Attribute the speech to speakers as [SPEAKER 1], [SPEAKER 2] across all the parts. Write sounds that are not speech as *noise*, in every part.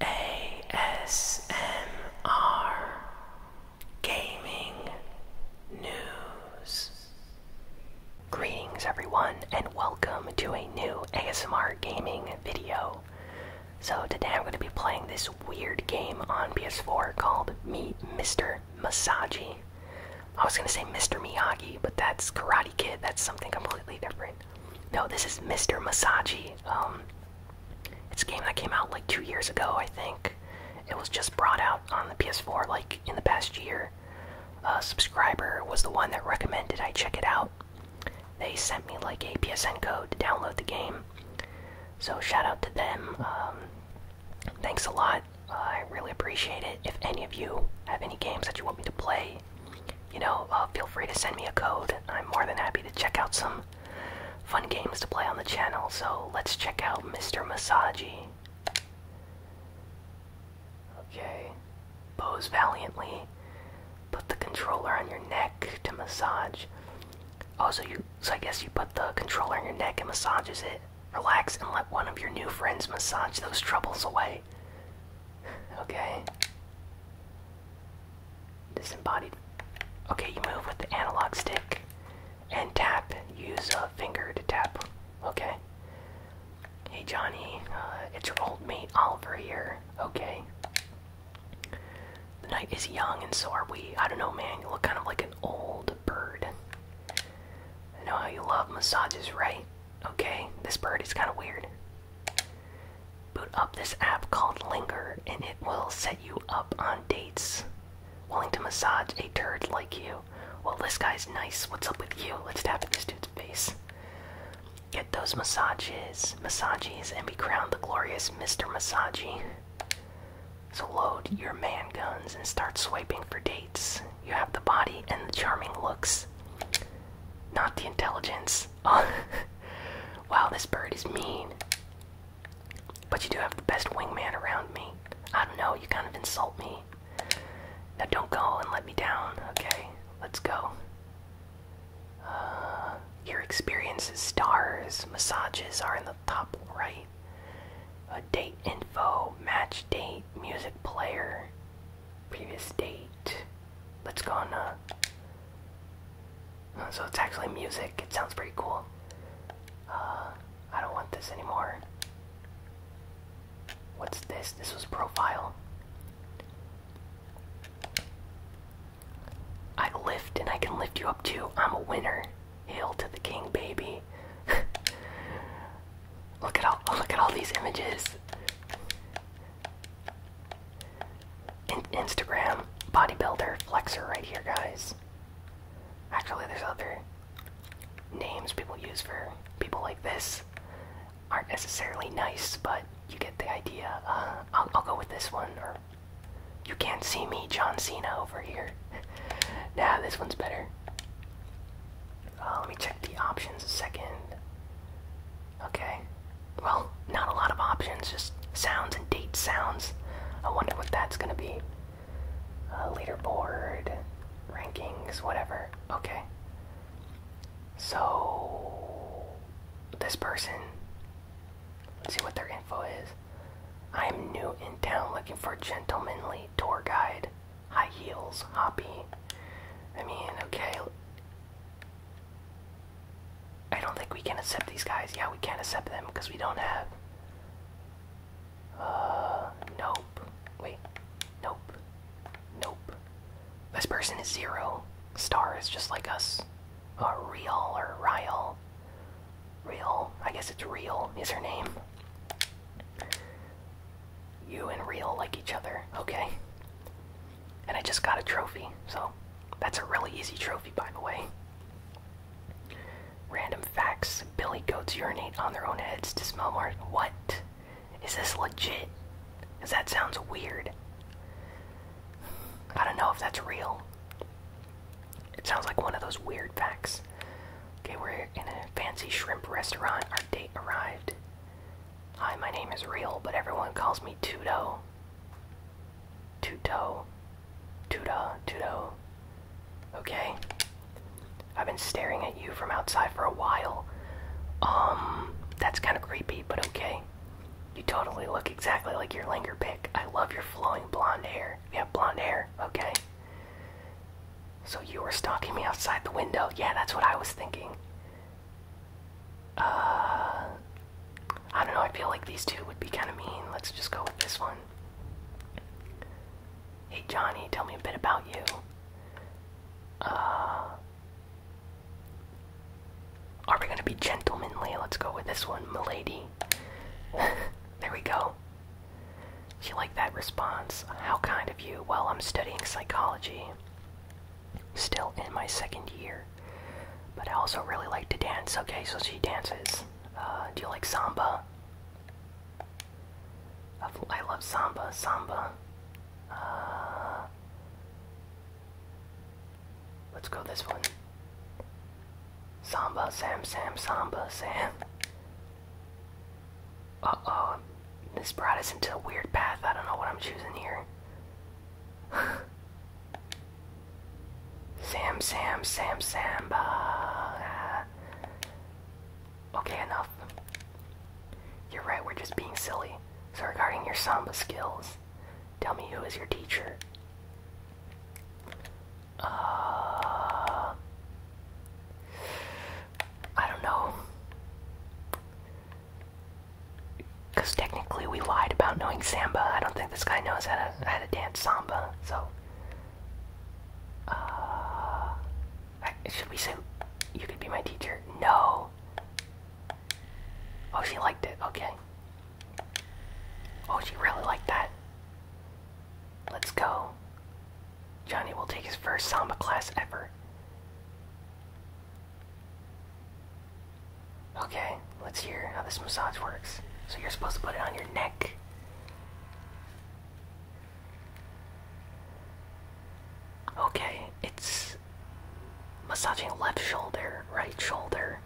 [SPEAKER 1] ASMR Gaming News. Greetings, everyone, and welcome to a new ASMR gaming video. So, today I'm going to be playing this weird game on PS4 called Meet Mr. Masagi. I was going to say Mr. Miyagi, but that's Karate Kid, that's something completely different. No, this is Mr. Masagi. Um, it's a game that came out like two years ago, I think. It was just brought out on the PS4 like in the past year. A subscriber was the one that recommended I check it out. They sent me like a PSN code to download the game. So shout out to them. Um, thanks a lot. Uh, I really appreciate it. If any of you have any games that you want me to play, you know, uh, feel free to send me a code. I'm more than happy to check out some fun games to play on the channel. So let's check out Mr. Masagi. Okay, pose valiantly. Put the controller on your neck to massage. Oh, so you so I guess you put the controller on your neck and massages it. Relax and let one of your new friends massage those troubles away. *laughs* Okay. Disembodied. Okay, you move with the analog stick and tap. Use a finger to tap. Okay. Hey Johnny, uh, it's your old mate Oliver here. Okay. The night is young and so are we. I don't know, man. You look kind of like an old bird. I know how you love massages, right? Okay, this bird is kind of weird boot up this app called Linger, and it will set you up on dates. Willing to massage a turd like you. Well, this guy's nice. What's up with you? Let's tap in this dude's face. Get those massages, massages, and we crown the glorious Mr. Massagy. So load your man guns and start swiping for dates. You have the body and the charming looks, not the intelligence. *laughs* wow, this bird is mean. But you do have the best wingman around me. I don't know, you kind of insult me. Now don't go and let me down, okay? Let's go. Uh, your experience is stars. Massages are in the top right. A date info, match date, music player. Previous date. Let's go on, uh, uh. so it's actually music. It sounds pretty cool. Uh, I don't want this anymore. What's this? This was profile. I lift and I can lift you up too. I'm a winner. Hail to the king, baby. *laughs* look at all look at all these images. Instagram bodybuilder flexor right here, guys. Actually, there's other names people use for people like this. Aren't necessarily nice, but you get the idea. Uh, I'll, go with this one, or you can't see me, John Cena over here. *laughs* nah, this one's better. Uh, let me check the options a second. Okay. Well, not a lot of options, just sounds and date sounds. I wonder what that's gonna be. Uh, leaderboard, rankings, whatever. Okay. So, this person, let's see what their info is. I am new in town looking for a gentlemanly tour guide. High heels, hoppy. I mean, okay, I don't think we can accept these guys. Yeah, we can't accept them because we don't have. Uh, nope. Wait. Nope. Nope. This person is zero. Star is just like us. Uh, real or Ryle. Real. I guess it's Real is her name. You and Real like each other. Okay and I just got a trophy, so that's a really easy trophy, by the way. Random facts Billy goats urinate on their own heads to smell more. What? Is this legit? Because that sounds weird. I don't know if that's real. It sounds like one of those weird facts. Okay, we're in a fancy shrimp restaurant. Our date arrived. Hi, my name is Real, but everyone calls me Tudo. Tuto. Tuda. Tudo. Okay. I've been staring at you from outside for a while. Um, that's kind of creepy, but okay. You totally look exactly like your langer pick. I love your flowing blonde hair. You have blonde hair, okay? So you were stalking me outside the window. Yeah, that's what I was thinking. Uh, I don't know, I feel like these two would be kind of mean. Let's just go with this one. Hey Johnny, tell me a bit about you. Uh, are we gonna be gentlemanly? Let's go with this one, milady. *laughs* there we go. She liked that response. How kind of you. Well, I'm studying psychology still in my second year. But I also really like to dance. Okay, so she dances. Uh, do you like samba? I love samba. Samba. Uh, let's go this one. Samba, Sam, Sam, Samba, Sam. Uh oh. This brought us into a weird path. I don't know what I'm choosing here. *laughs* Sam, Sam, Sam, Samba. Okay, enough. You're right, we're just being silly. So, regarding your samba skills, tell me who is your teacher? Uh. I don't know. Because technically we lied about knowing samba. I don't think this guy knows how to, how to dance samba, so. Uh, should we say, you could be my teacher? No. Oh, she liked it, okay. Oh, she really liked that. Let's go. Johnny will take his first samba class ever. Okay, let's hear how this massage works. So you're supposed to put it on your neck. Okay, it's massaging left shoulder, right shoulder.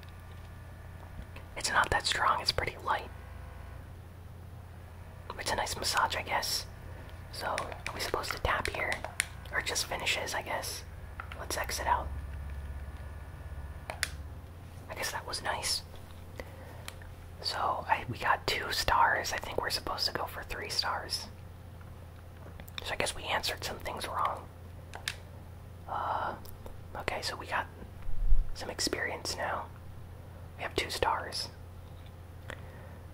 [SPEAKER 1] It's not that strong, it's pretty light. It's a nice massage, I guess. So, are we supposed to tap here? Or just finishes, I guess. Let's exit out. I guess that was nice. So, we got two stars. I think we're supposed to go for three stars. So, I guess we answered some things wrong. Uh, okay, so we got some experience now. We have two stars.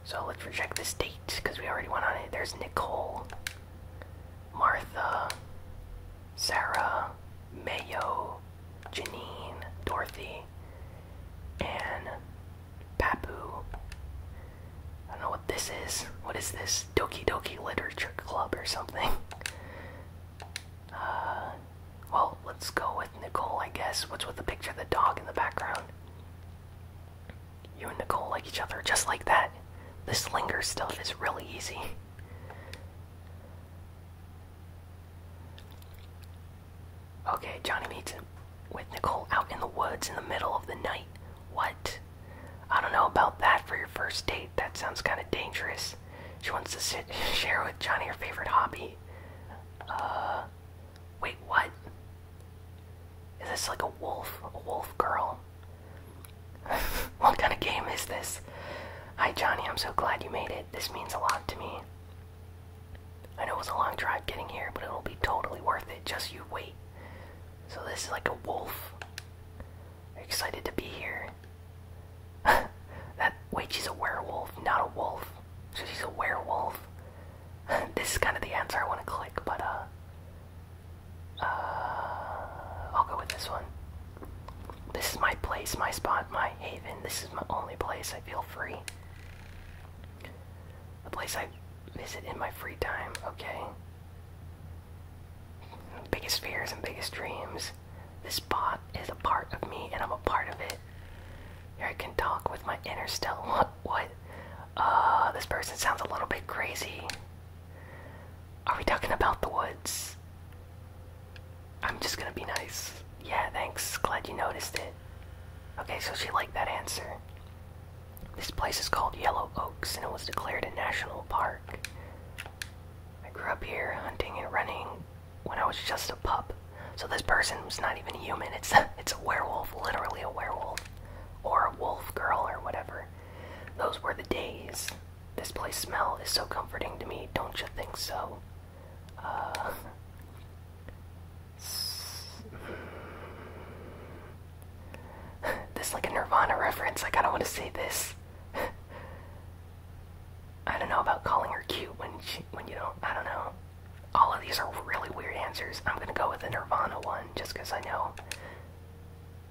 [SPEAKER 1] So let's check this date because we already went on it. There's Nicole. Martha, Sarah, Mayo, Janine, Dorothy, and Papu. I don't know what this is. What is this? Doki Doki Literature Club or something? *laughs* Uh, well, let's go with Nicole, I guess. What's with the picture of the dog in the background? You and Nicole like each other just like that. This linger stuff is really easy. Okay, Johnny meets with Nicole out in the woods in the middle of the night. What? I don't know about that for your first date. That sounds kind of dangerous. She wants to *laughs* share with Johnny her favorite hobby. Uh, wait, what? Is this like a wolf? A wolf girl? *laughs* what kind of game is this? Hi, Johnny, I'm so glad you made it. This means a lot to me. I know it was a long drive getting here, but it'll be totally worth it. Just you wait. So, this is like a wolf. excited to be here? *laughs* that. Wait, she's a werewolf, not a wolf. So, she's a werewolf. *laughs* this is kind of the answer I want to click, but, uh. Uh, I'll go with this one. This is my place, my spot, my haven. This is my only place I feel free. The place I visit in my free time, okay? Biggest fears and biggest dreams. This spot is a part of me and I'm a part of it. Here I can talk with my inner Stella what uh this person sounds a little bit crazy. Are we talking about the woods? I'm just gonna be nice. Yeah, thanks. Glad you noticed it. Okay, so she liked that answer. This place is called Yellow Oaks and it was declared a national park. I grew up here hunting and running when I was just a pup. So this person was not even human. It's a, *laughs* it's a werewolf, literally a werewolf or a wolf girl or whatever. Those were the days. This place smell is so comforting to me, don't you think so? Uh, *laughs* this is like a Nirvana reference, like I don't want to say this. *laughs* I don't know about calling her cute when she, when you know, I don't know. All of these are really weird answers. I'm gonna go with the Nirvana one just because I know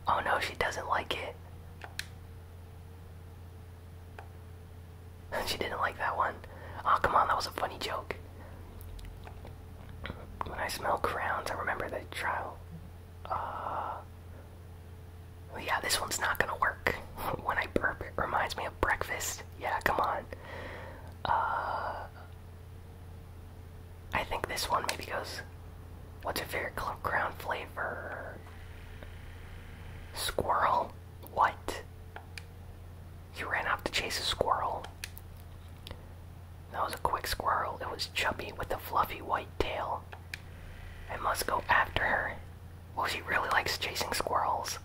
[SPEAKER 1] Oh no, she doesn't like it. *laughs* she didn't like that one. Oh, come on, that was a funny joke. When I smell crowns, I remember the trial. Uh, yeah, this one's not gonna work. *laughs* when I burp, it reminds me of breakfast. Yeah, come on. Uh, I think this one maybe goes. What's your favorite ground flavor? Squirrel? What? You ran off to chase a squirrel. That was a quick squirrel. It was chubby with a fluffy white tail. I must go after her. Oh, she really likes chasing squirrels.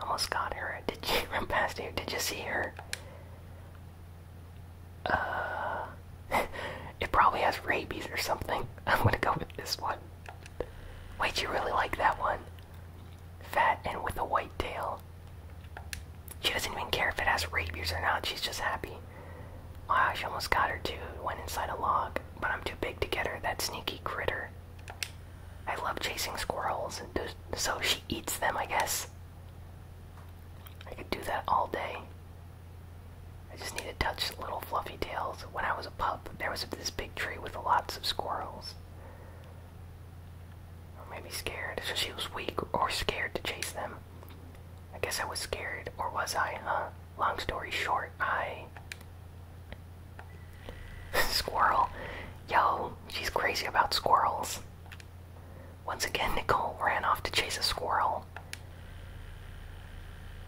[SPEAKER 1] Almost got her. Did you *laughs* run past you? Did you see her? Uh, *laughs* it probably has rabies or something. *laughs* I'm gonna go with this one. Wait, you really like that one? Fat and with a white tail. She doesn't even care if it has rabies or not, she's just happy. Wow, she almost got her too. Went inside a log, but I'm too big to get her, that sneaky critter. I love chasing squirrels, so she eats them, I guess. I could do that all day. I just need to touch little fluffy tails. When I was a pup, there was this big tree with lots of squirrels. Or maybe scared, so she was weak or scared to chase them. I guess I was scared, or was I, huh? Long story short, I. *laughs* Squirrel. Yo, she's crazy about squirrels. Once again, Nicole ran off to chase a squirrel.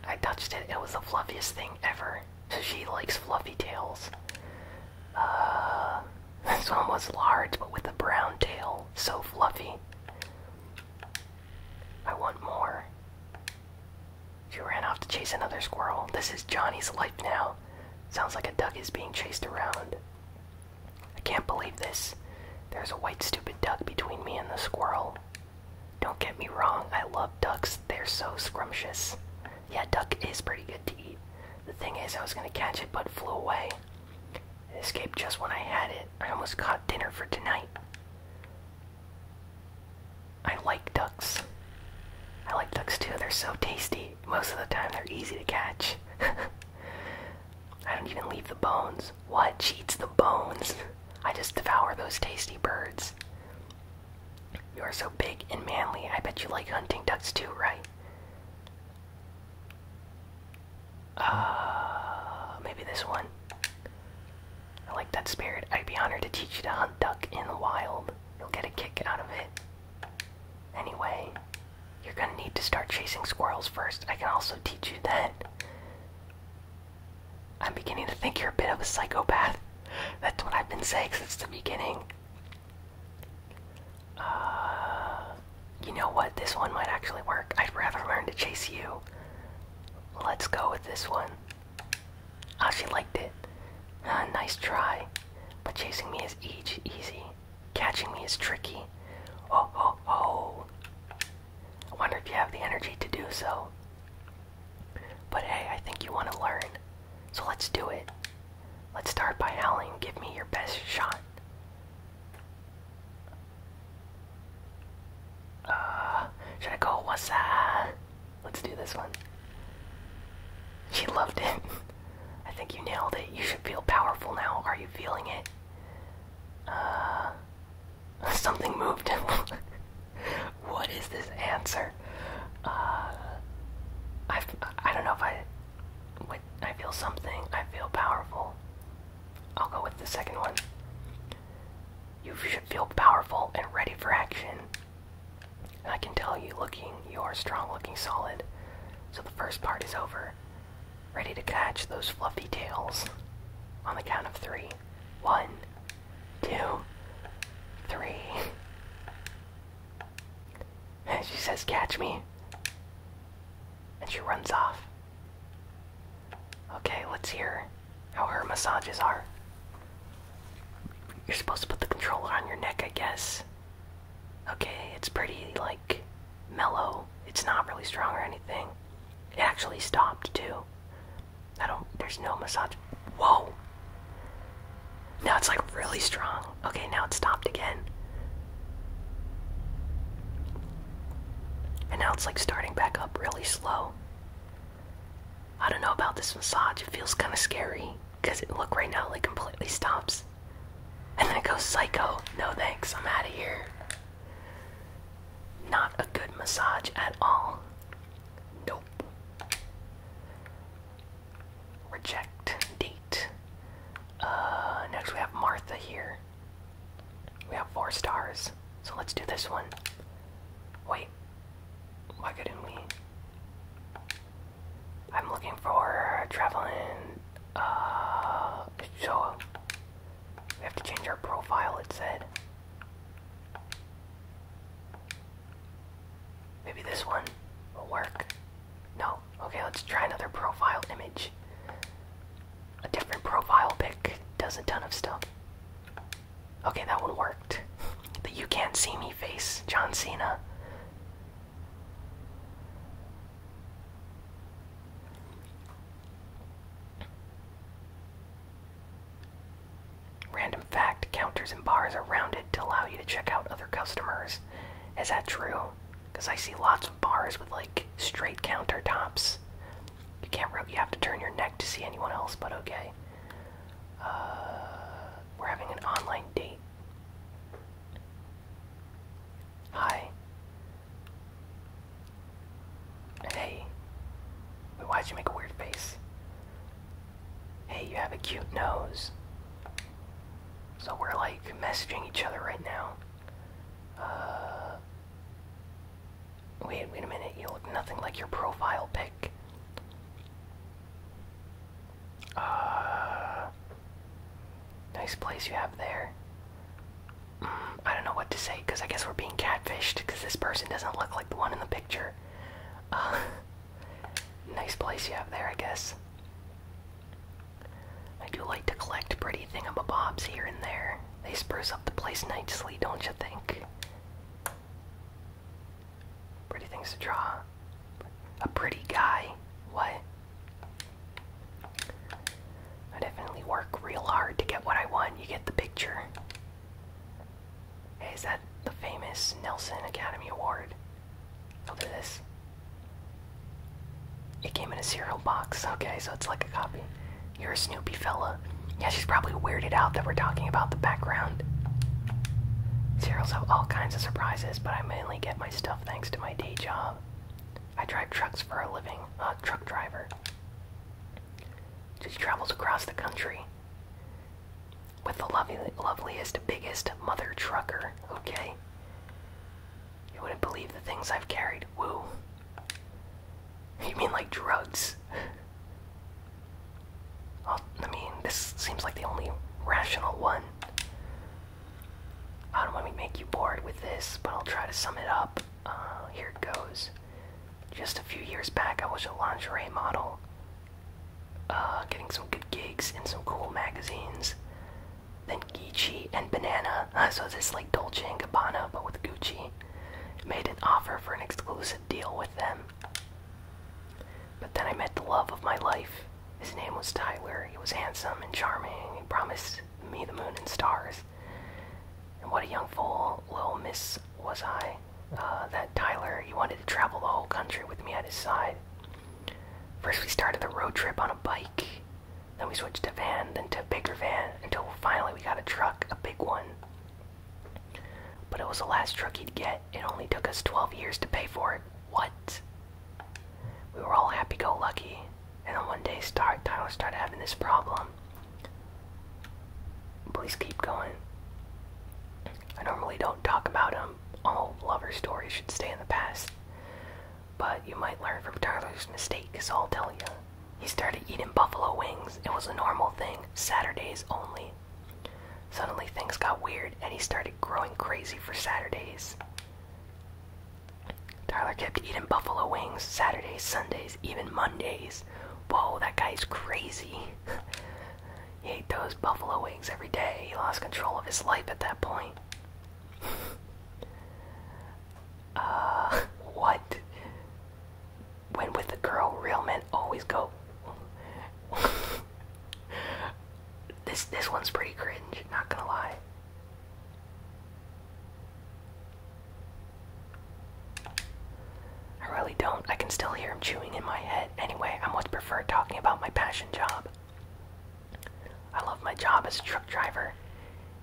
[SPEAKER 1] I touched it, it was the fluffiest thing ever. She likes fluffy tails. Uh, *laughs* this one was large, but with a brown tail. So fluffy. I want more. She ran off to chase another squirrel. This is Johnny's life now. Sounds like a duck is being chased around. I can't believe this. There's a white stupid duck between me and the squirrel. Don't get me wrong, I love ducks. They're so scrumptious. Yeah, duck is pretty good to eat. The thing is, I was gonna catch it but flew away. escaped just when I had it. I almost caught dinner for tonight. I like ducks. I like ducks too, they're so tasty most of the time they're easy to catch. *laughs* I don't even leave the bones. What? She eats the bones? I just devour those tasty birds. You are so big and manly. I bet you like hunting ducks too, right? Uh, maybe this one. I like that spirit. I'd be honored to teach you to hunt duck in the wild. You'll get a kick out of it. Anyway, you're gonna need to start chasing squirrels first. I can also teach you that. I'm beginning to think you're a bit of a psychopath. That's what I've been saying since the beginning. Uh, you know what? This one might actually work. I'd rather learn to chase you. Let's go with this one. Ah, she liked it. Ah, nice try. But chasing me is each easy. Catching me is tricky. Oh, oh, oh. I wonder if you have the energy to do so. But hey, I think you want to learn. So let's do it. Let's start by howling. Give me your best shot. Uh, should I go? What's that? Let's do this one. She loved it. *laughs* I think you nailed it. You should feel powerful now. Are you feeling it? Uh, *laughs* something moved. *laughs* what is this answer? Uh, I I don't know if I. I feel something. I feel powerful. I'll go with the second one. You should feel powerful and ready for action. I can tell you looking you are strong, looking solid. So the first part is over. Ready to catch those fluffy tails. On the count of three. One, two, three. And *laughs* she says, catch me. And she runs off. Okay, let's hear how her massages are. You're supposed to put the controller on your neck, I guess. Okay, it's pretty, like, mellow. It's not really strong or anything. It actually stopped, too. I don't, there's no massage. Whoa! Now it's, like, really strong. Okay, now it stopped again. And now it's, like, starting back up really slow. I don't know about this massage. It feels kind of scary because it look right now like completely stops and then go psycho. No thanks, I'm out of here. Not a good massage at all. Nope. Reject date. Uh, next we have Martha here. We have four stars, so let's do this one. Wait, why couldn't we? I'm looking for traveling. Uh, so we have to change our profile. It said maybe this one will work. No. Okay, let's try another profile image. A different profile pic does a ton of stuff. Okay, that one worked. *laughs* The You Can't See Me face, John Cena. Random fact counters and bars are rounded to allow you to check out other customers. Is that true? Because I see lots of bars with like straight countertops. You can't you have to turn your neck to see anyone else, but okay. Uh, we're having an online date. Hi. hey. why'd you make a weird face? Hey, you have a cute nose. So we're like messaging each other right now. Uh, wait, wait a minute. You look nothing like your profile pic. Uh, nice place you have there. Mm, I don't know what to say because I guess we're being catfished because this person doesn't look like the one in the picture. Uh, *laughs* nice place you have there, I guess. I do like to collect pretty thingamabobs here and there. They spruce up the place nicely, don't you think? Pretty things to draw. A pretty guy. What? I definitely work real hard to get what I want. You get the picture. is that the famous Nelson Academy Award? I'll do this. It came in a cereal box. Okay, so it's like a copy. You're a Snoopy fella. Yeah, she's probably weirded out that we're talking about the background. Cereals have all kinds of surprises, but I am independently get my stuff thanks to my day job. I drive trucks for a living, a truck driver. Just travels across the country with the lovely, loveliest, biggest mother trucker, okay? You wouldn't believe the things I've carried. Woo. You mean like drugs? *laughs* Well, I mean, this seems like the only rational one. I don't want to make you bored with this, but I'll try to sum it up. Uh, here it goes. Just a few years back, I was a lingerie model, uh, getting some good gigs in some cool magazines. Then Gucci and Banana, *laughs* so this like Dolce and Gabbana, but with Gucci, made an offer for an exclusive deal with them. But then I met the love of my life. His name was Tyler. He was handsome and charming. He promised me the moon and stars. And what a young fool, little miss, was I. Uh, that Tyler, he wanted to travel the whole country with me at his side. First, we started the road trip on a bike. Then we switched to van, then to a bigger van, until finally we got a truck, a big one. But it was the last truck he'd get. It only took us 12 years to pay for it. What? We were all happy go lucky, and then one day start Tyler started having this problem. Please keep going. I normally don't talk about him. All lover stories should stay in the past. But you might learn from Tyler's mistake, so I'll tell you. He started eating buffalo wings. It was a normal thing, Saturdays only. Suddenly things got weird and he started growing crazy for Saturdays. Tyler kept eating buffalo wings Saturdays, Sundays, even Mondays. Whoa, that guy's crazy. *laughs* he ate those buffalo wings every day. He lost control of his life at that point. *laughs* uh, what? When with a girl, real men always go. *laughs* This this one's pretty cringe, not gonna lie. I really don't. I can still hear him chewing in my head. Anyway, I much prefer talking about my passion job. I love my job as a truck driver.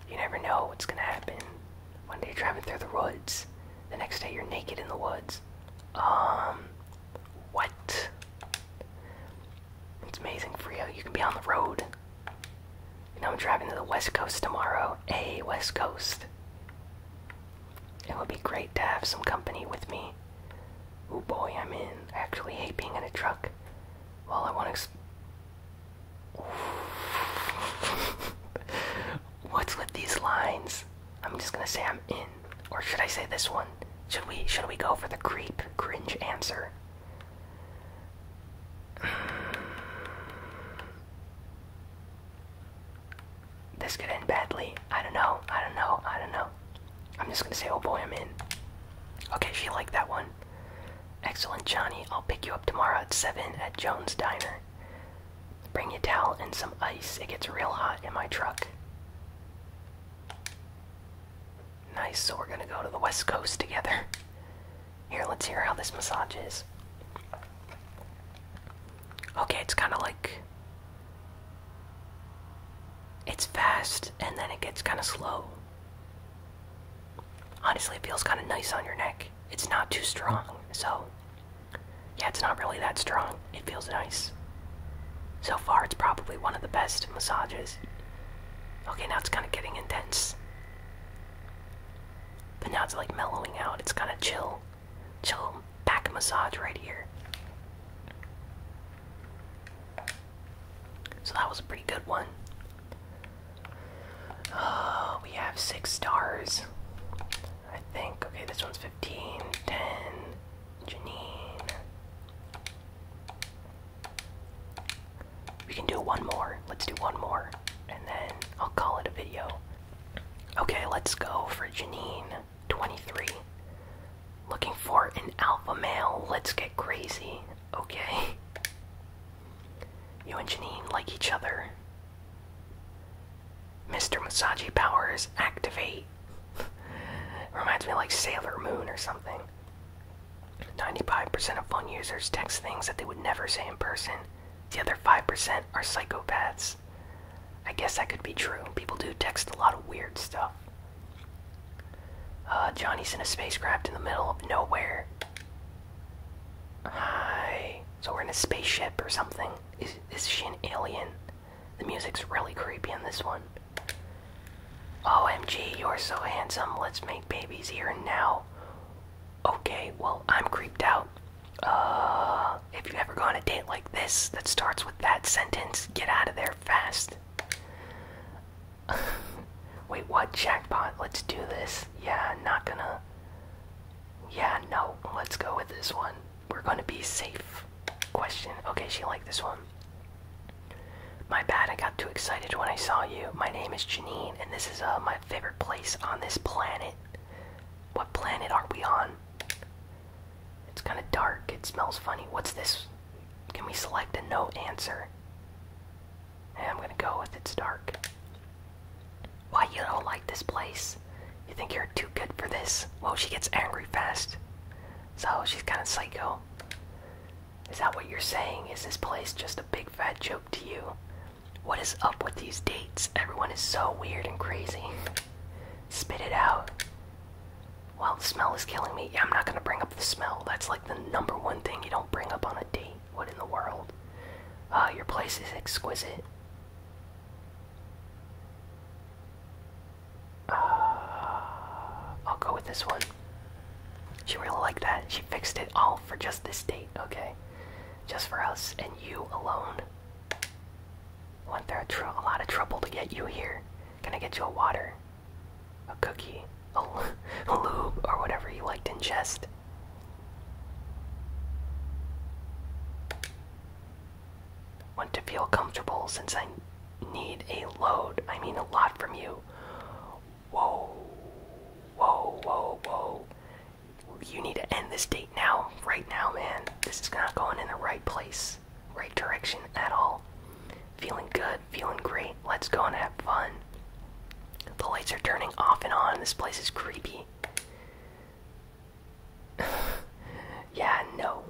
[SPEAKER 1] You never know what's gonna happen. One day driving through the woods, the next day you're naked in the woods. Um, what? It's amazing, Frio. You can be on the road. You I'm driving to the West Coast tomorrow. Hey, West Coast. It would be great to have some company with me. Oh boy, I'm in. I actually hate being in a truck. Well, I want to. *laughs* What's with these lines? I'm just gonna say I'm in or should I say this one? Should we should we go for the creep cringe answer? *sighs* This could end badly. I don't know. I don't know. I don't know. I'm just gonna say, oh boy, I'm in. Okay, she liked that one. Excellent, Johnny. I'll pick you up tomorrow at 7 at Jones Diner. Bring your towel and some ice. It gets real hot in my truck. Nice, so we're gonna go to the west coast together. Here, let's hear how this massage is. Okay, it's kind of like. It's fast and then it gets kind of slow. Honestly, it feels kind of nice on your neck. It's not too strong, so. Yeah, it's not really that strong it feels nice. So far, it's probably one of the best massages. Okay, now it's kind of getting intense. But now it's like mellowing out. It's kind of chill. Chill back massage right here. So that was a pretty good one. Uh, we have six stars. I think. Okay, this one's 15, 10, Janine. We can do one more. Let's do one more. And then I'll call it a video. Okay, let's go for Janine 23. Looking for an alpha male. Let's get crazy. Okay. *laughs* You and Janine like each other. Mr. Masagi powers activate. *laughs* Reminds me of like Sailor Moon or something. 95% of phone users text things that they would never say in person. The other 5% are psychopaths. I guess that could be true. People do text a lot of weird stuff. Uh, Johnny's in a spacecraft in the middle of nowhere. Hi. So we're in a spaceship or something. Is, is she an alien? The music's really creepy in this one. OMG, you're so handsome. Let's make babies here and now. Okay, well, I'm creeped out. Uh, if you ever go on a date like this that starts with that sentence, get out of there fast. *laughs* Wait, what? Jackpot, let's do this. Yeah, not gonna. Yeah, no, let's go with this one we're gonna be safe. Question. Okay, she liked this one. My bad, I got too excited when I saw you. My name is Janine, and this is uh, my favorite place on this planet. What planet are we on? It's kind of dark. It smells funny. What's this? Can we select a no answer? I'm gonna go with it's dark. Why you don't like this place? You think you're too good for this? Well, she gets angry fast. So she's kind of psycho. Is that what you're saying? Is this place just a big fat joke to you? What is up with these dates? Everyone is so weird and crazy. Spit it out. Well, the smell is killing me. Yeah, I'm not gonna bring up the smell. That's like the number one thing you don't bring up on a date. What in the world? Uh, your place is exquisite. *sighs* I'll go with this one. She really liked that. She fixed it all for just this date, okay? Just for us and you alone. Went through a, lot of trouble to get you here. Gonna get you a water, a cookie, a, *laughs* lube, or whatever you liked to ingest. Want to feel comfortable since I need a load, I mean a lot from you. Whoa, whoa, whoa, whoa. You need to end this date now, right now, man. This is not going in the right place, right direction at all. Feeling good, feeling great. Let's go and have fun. The lights are turning off and on. This place is creepy. *sighs* yeah, no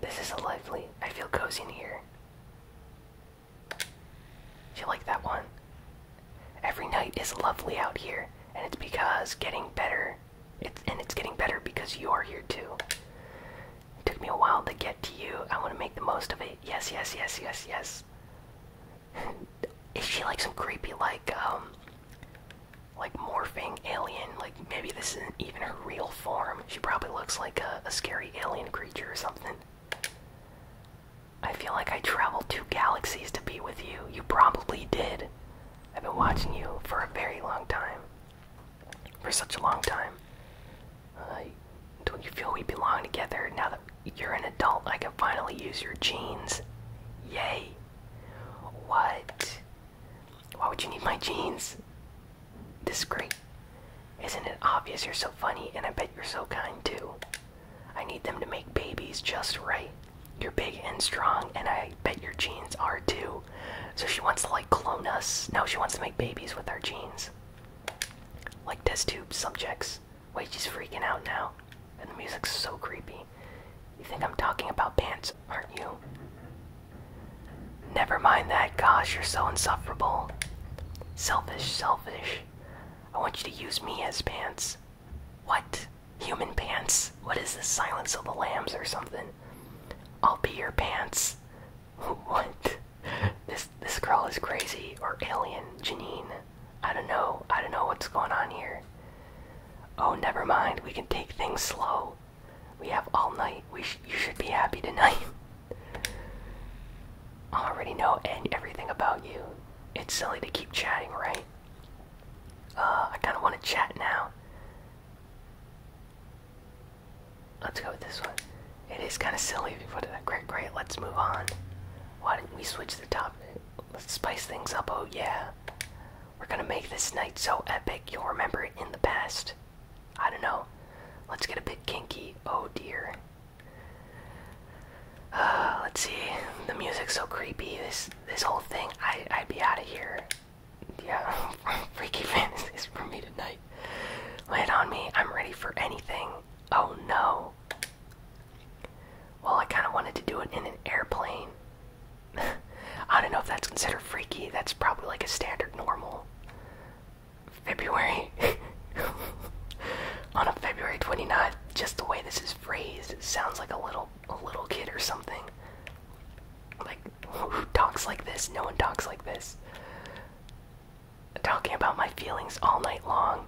[SPEAKER 1] this is a lovely. I feel cozy in here. You like that one? Every night is lovely out here, and it's because getting better. It's and it's getting better because you are here too. It took me a while to get to you. I want to make the most of it. Yes, yes, yes, yes, yes. *laughs* Is she like some creepy like um like morphing alien? Like maybe this isn't even her real form. She probably looks like a, scary alien creature or something. I feel like I traveled two galaxies to be with you. You probably did. I've been watching you for a very long time. For such a long time. Uh, don't you feel we belong together now that you're an adult? I can finally use your genes. Yay. What? Why would you need my genes? This is great. Isn't it obvious you're so funny and I bet you're so kind too? I need them to make babies just right. You're big and strong and I bet your jeans are too. So she wants to like clone us. No, she wants to make babies with our jeans, Like test tube subjects. Wait, she's freaking out now. And the music's so creepy. You think I'm talking about pants? aren't you? Never mind that, gosh, you're so insufferable. Selfish, selfish. I want you to use me as pants. What? Human pants? What is this, Silence of the Lambs or something? I'll be your pants. *laughs* What? This this girl is crazy or alien, Janine. I don't know. I don't know what's going on here. Oh, never mind. We can take things slow. We have all night. you should be happy tonight. *laughs* I already know and everything about you. It's silly to keep chatting, right? Uh, I kind of want to chat now. Let's go with this one. It is kind of silly if you put it. that way. great. Let's move on. Why didn't we switch the topic? Let's spice things up. Oh yeah, we're gonna make this night so epic you'll remember it in the past. I don't know. Let's get a bit kinky. Oh dear. Uh, let's see. The music's so creepy. This this whole thing. I I'd be out of here. Yeah, *laughs* freaky fantasies for me tonight. Lay it on me. I'm ready for anything. Oh no. Well, I kind of wanted to do it in an airplane. *laughs* I don't know if that's considered freaky. That's probably like a standard normal. February. *laughs* On a February 29th, just the way this is phrased, sounds like a little a little kid or something. Like who talks like this? No one talks like this. Talking about my feelings all night long.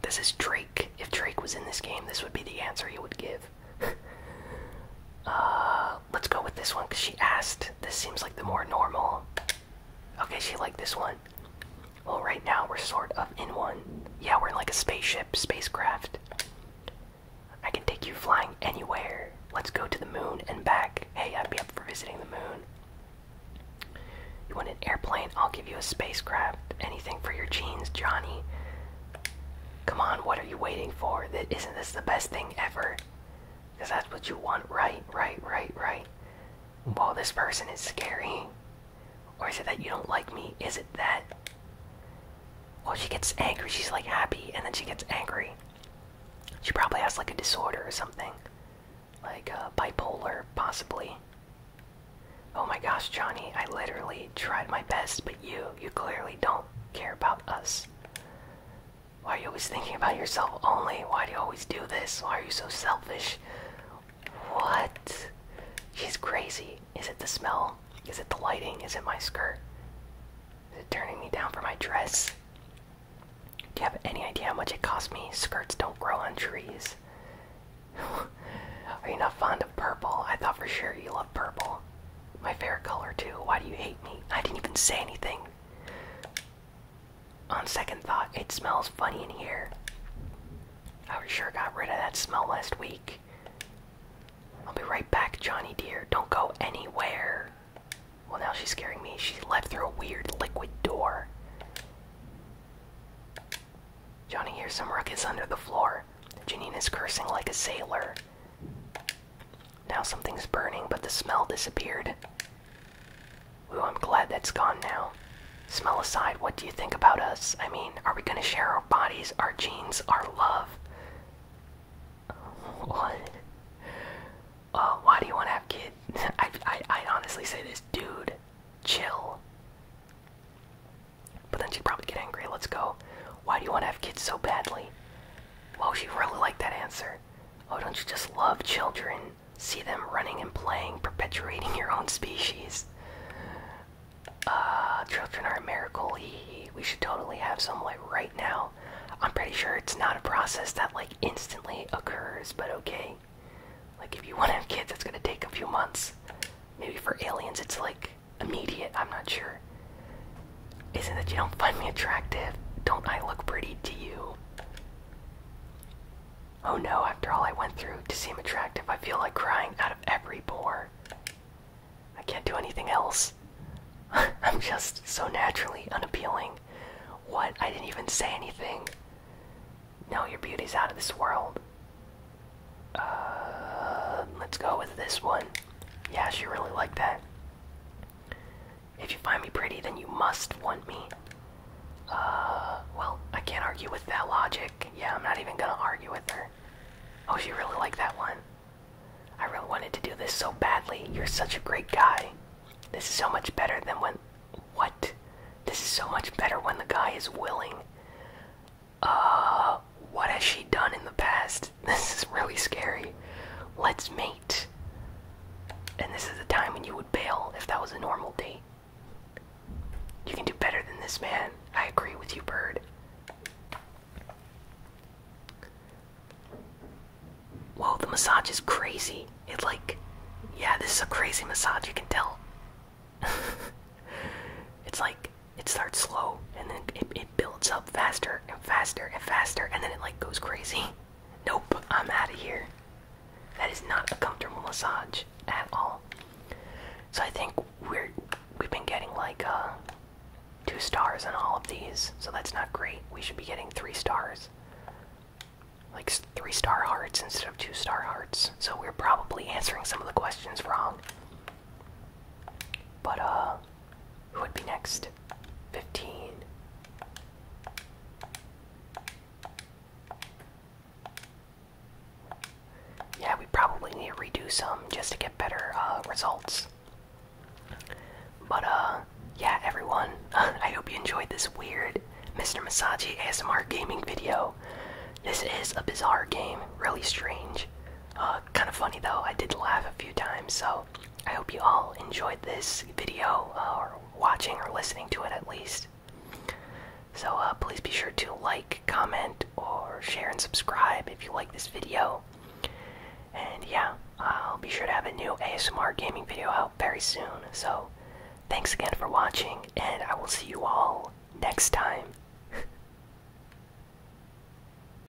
[SPEAKER 1] This is Drake. If Drake was in this game, this would be the answer he would give. *laughs* Uh, let's go with this one because she asked. This seems like the more normal. Okay, she liked this one. Well, right now we're sort of in one. Yeah, we're in like a spaceship, spacecraft. I can take you flying anywhere. Let's go to the moon and back. Hey, I'd be up for visiting the moon. You want an airplane? I'll give you a spacecraft. Anything for your genes, Johnny. Come on, what are you waiting for? Isn't this the best thing ever? Because that's what you want, right? Right, right, right. Well, this person is scary. Or is it that you don't like me? Is it that? Well, she gets angry. She's like happy, and then she gets angry. She probably has like a disorder or something. Like uh, bipolar, possibly. Oh my gosh, Johnny, I literally tried my best, but you, you clearly don't care about us. Why are you always thinking about yourself only? Why do you always do this? Why are you so selfish? What? She's crazy. Is it the smell? Is it the lighting? Is it my skirt? Is it turning me down for my dress? Do you have any idea how much it costs me? Skirts don't grow on trees. *laughs* Are you not fond of purple? I thought for sure you loved purple. My favorite color, too. Why do you hate me? I didn't even say anything. On second thought, it smells funny in here. I sure got rid of that smell last week. I'll be right back, Johnny dear. Don't go anywhere. Well, now she's scaring me. She left through a weird liquid door. Johnny hears some ruckus under the floor. Janine is cursing like a sailor. Now something's burning, but the smell disappeared. Ooh, I'm glad that's gone now. Smell aside, what do you think about us? I mean, are we gonna share our bodies, our genes, our love? *laughs* What? Uh, why do you want to have kids? *laughs* I, I, I honestly say this, dude, chill. But then she'd probably get angry. Let's go. Why do you want to have kids so badly? Well, you really like that answer. Oh, don't you just love children? See them running and playing, perpetuating your own species. Ah, children are a miracle. we should totally have some like right now. I'm pretty sure it's not a process that like instantly occurs, but okay. Like if you *laughs* want to have kids, it's gonna take a few months. Maybe for aliens, it's like immediate, I'm not sure. Is it that you don't find me attractive? Don't I look pretty to you? Oh no, after all I went through to seem attractive, I feel like crying out of every pore. I can't do anything else. *laughs* I'm just so naturally unappealing. What? I didn't even say anything. No, your beauty's out of this world. Uh, let's go with this one. Yeah, she really liked that. If you find me pretty, then you must want me. Uh, well, I can't argue with that logic. Yeah, I'm not even gonna argue with her. Oh, she really liked that one. I really wanted to do this so badly. You're such a great guy. This is so much better than when. What? This is so much better when the guy is willing. Uh, what has she done in the past? *laughs* This is really scary. Let's mate. And this is the time when you would bail if that was a normal date. You can do better than this, man. I agree with you, Bird. Whoa, the massage is crazy. It like, yeah, this is a crazy massage. You can tell. *laughs* it's like it starts slow and then it it builds up faster and faster and faster and then it like goes crazy. Nope, I'm out of here. That is not a comfortable massage at all. So I think we're we've been getting like uh two stars on all of these, so that's not great. We should be getting three stars. Like three star hearts instead of two star hearts. So we're probably answering some of the questions wrong. But, uh, who would be next? 15. Yeah, we probably need to redo some just to get better uh, results. But, uh, yeah, everyone, *laughs* I hope you enjoyed this weird Mr. Masagi ASMR gaming video. This is a bizarre game, really strange. Uh, kind of funny though, I did laugh a few times, so I hope you all enjoyed this video, uh, or watching or listening to it at least. So uh, please be sure to like, comment, or share and subscribe if you like this video. And yeah, I'll be sure to have a new ASMR gaming video out very soon. So thanks again for watching, and I will see you all next time. *laughs*